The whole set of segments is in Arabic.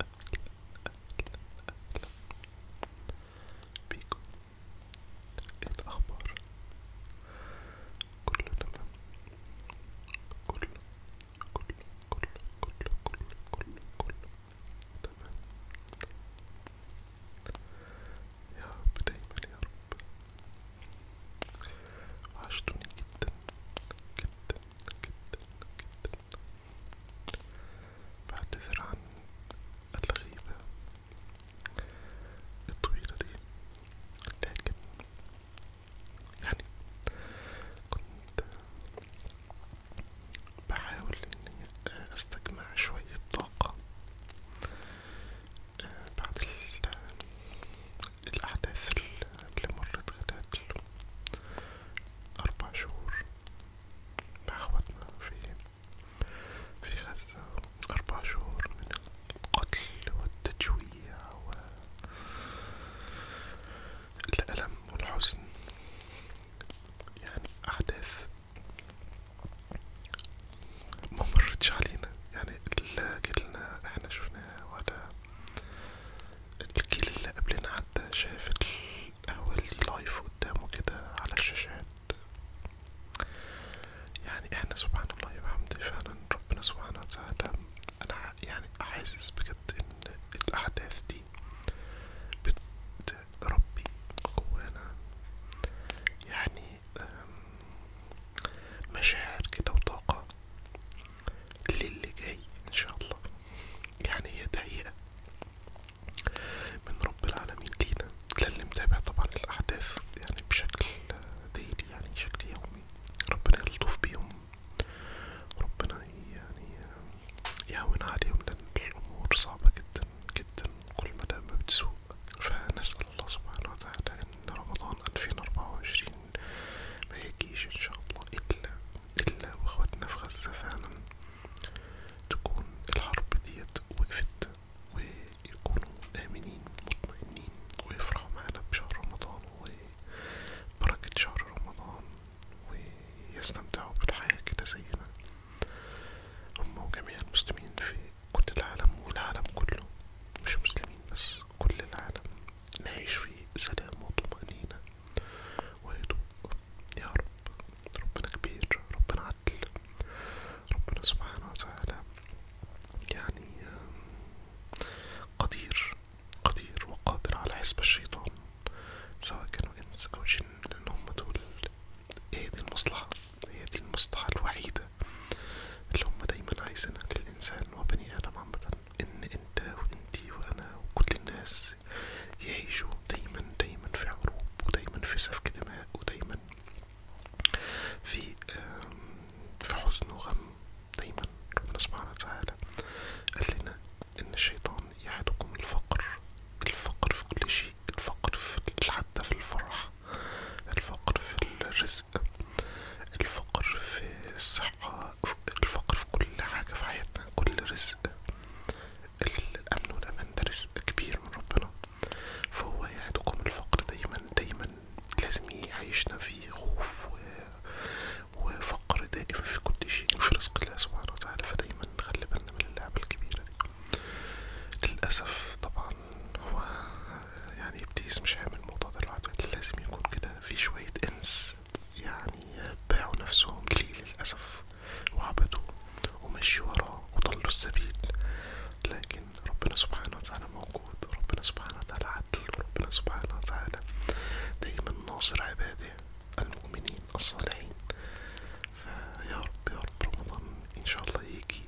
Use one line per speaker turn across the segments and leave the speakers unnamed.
أكل أكل أكل بيكم إيه الأخبار؟ كله تمام كله كله كله كله كله كله كله تمام يا رب دايما يا رب وحشتوني جدا جدا جدا جدا بعتذر عن الغيبة الطويلة دي لكن يعني كنت بحاول اني استجمع شوية طاقة آه، بعد الأحداث اللي مرت خلال أربع شهور مع اخوتنا في في غزة أربع شهور من القتل والتجويع والألم والحزن يعني أحداث ما مرتش علينا يعني لا كلنا احنا شفناها ولا الكل اللي قبلنا حتى شاف القهوة دي لايف قدامه كده على الشاشات يعني احنا سبحان الله وبحمده فعلا ربنا سبحانه وتعالى انا يعني حاسس بجد ان الاحداث دي بتربي جوانا يعني مشاعر كده وطاقة للي جاي ان شاء الله يعني هي تهيئة من رب العالمين لينا للي متابع طبعا الأحداث يعني بشكل ديلي يعني بشكل يومي ربنا يلطف بيهم ربنا يعني يهون عليهم لأن الأمور صعبة جدا جدا كل ما ما بتسوق فنسأل الله سبحانه وتعالى إن رمضان ألفين أربعة وعشرين ميجيش إن شاء الله إلا إلا وأخواتنا في غزة فعلا تكون الحرب ديت وقفت ويكونوا آمنين مطمئنين ويفرحوا معنا بشهر رمضان وبركة شهر رمضان ويستمتعوا بالحياة كده زينا هم وجميع المسلمين في كل العالم والعالم كله مش مسلمين بس كل العالم نعيش في سلام وطمأنينة ويتوب يا رب ربنا كبير ربنا عدل ربنا سبحانه وتعالى يعني قدير قدير وقادر على حسب الشيطان سواء كانوا انس او جن لان هم دول هي دي المصلحة هي دي المصلحة الوحيدة اللي هم دايما عايزينها للإنسان وبني آدم عامة ان انت وانتي وانا وكل الناس يعيشوا دايما دايما في حروب ودايما في سفك دماء ودايما في في حزن وغم دايما ربنا سبحانه وتعالى قال ان الشيطان يعدكم الفقر الفقر في كل شيء الفقر حتى في الفرح الفقر في الرزق الفقر في الصحة الفقر في كل حاجة في حياتنا كل رزق الأمن والأمان ده رزق كبير من ربنا فهو يعدكم الفقر دايما دايما لازم يعيشنا في خوف و... وفقر دائم في كل شيء في رزق الله سبحانه وتعالى فدايما نخلي بالنا من اللعبة الكبيرة دي للأسف طبعا هو يعني ابليس مش هيعمل الموضوع ده لوحده لازم يكون كده في شوية انس يعني باعوا نفسهم لي للأسف وعبدوا ومشوا وراه وضلوا السبيل لكن ربنا سبحانه وتعالى موجود ربنا سبحانه وتعالى عدل ربنا سبحانه وتعالى دايما ناصر عباده المؤمنين الصالحين فيا رب يا رب رمضان ان شاء الله يجي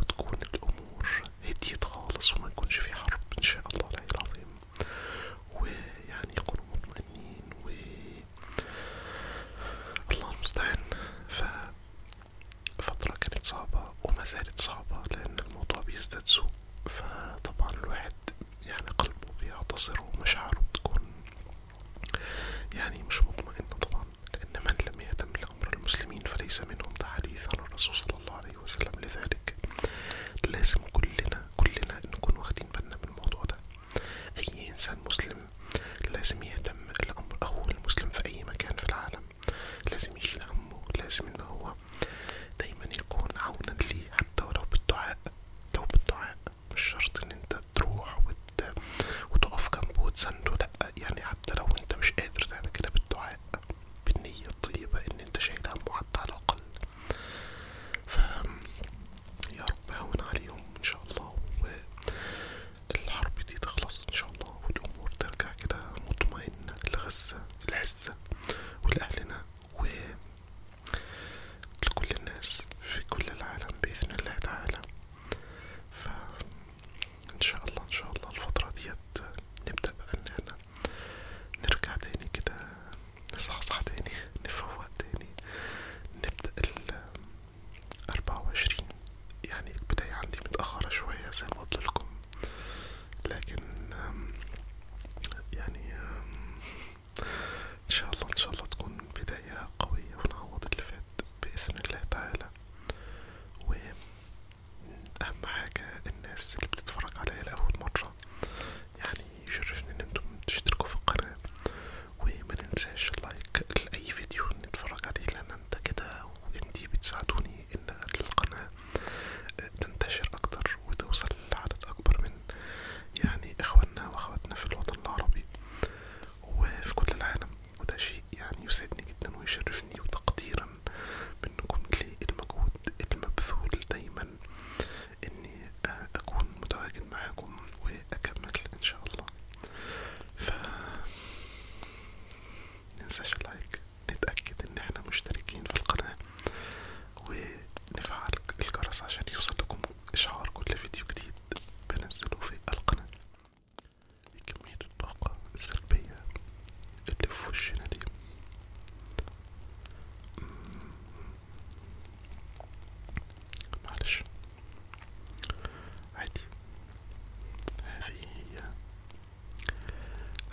وتكون الامور هديت خالص وما يكونش في حرب ان شاء الله العلي العظيم ويعني يكونوا مطمئنين و الله المستعان ف فترة كانت صعبة وما زالت صعبة لأن الموضوع بيزداد سوء فطبعا الواحد يعني قلبه بيعتصر ومشاعره بتكون يعني مش مطمئنة طبعا لأن من لم يهتم لأمر المسلمين فليس منهم تحديث عن الرسول صلى الله عليه وسلم لذلك لازم كلنا كلنا نكون واخدين بالنا من الموضوع ده اي انسان مسلم لازم يهتم الامر او المسلم في اي مكان في العالم لازم يشيل همه لازم ان هو دايما يكون عونا ليه حتى ولو بالدعاء لو بالدعاء مش شرط ان انت تروح وت... وتقف جنبه وتسنده لأ يعني حتى لو انت مش قادر تعمل كده بالدعاء بالنية الطيبة ان انت شايل همه حتى على الاقل ف يا رب هون عليهم ان شاء الله والحرب دي تخلص ان شاء الله والامور ترجع كده مطمئنه لغزه العزه ولاهلنا و لكل الناس في كل العالم باذن الله تعالى ف ان شاء الله ان شاء الله الفتره ديت نبدا بقى ان احنا نرجع تاني كده نصحصح تاني نفوق تاني نبدأ ال أربعة وعشرين يعني البداية عندي متأخرة شوية زي ما قلت لكم لكن يعني ان ان شاء الله تكون بداية قوية ونعوض اللي فات بإذن الله تعالى وأهم حاجة الناس اللي بتتفرج عليا لأول مرة مرة يعني يشرفني ان انتم تشتركوا في القناة وما ننساش اللايك لأي فيديو نتفرج عليه لأن انت كده وانتي بتساعدوني ان القناة تنتشر اكتر وتوصل لعدد اكبر من يعني اخواننا واخواتنا في الوطن العربي وفي كل العالم وده شيء يعني يسعدني جدا ويشرفني وتقديرا منكم للمجهود المبذول دايما اني آه، اكون متواجد معاكم واكمل ان شاء الله ف مننساش اللايك نتأكد ان احنا مشتركين في القناة ونفعل الجرس عشان يوصل لكم اشعار كل فيديو جديد بنزله في القناة كمية الطاقة السلبية اللي في وشنا دي معلش عادي هذه هي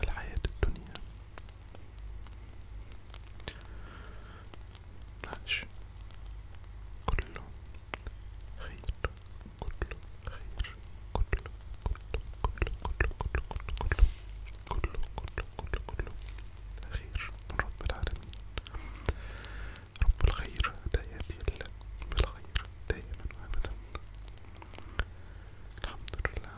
الحياة الدنيا معلش كله خير كله خير كله كله كله كله كله كله كله كله كله كله خير من رب العالمين رب الخير لا يأتي بالخير دائما وأبدا الحمد لله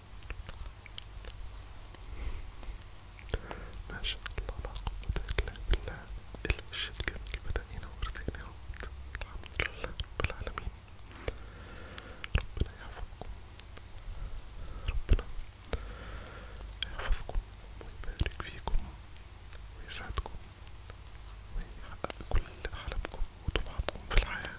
ما شاء الله لا قوة إلا بالله الوش الجميل بدأ ينور زي الحمد لله رب العالمين ربنا يحفظكم ربنا يحفظكم ويبارك فيكم ويسعدكم ويحقق كل أحلامكم وطموحاتكم في الحياة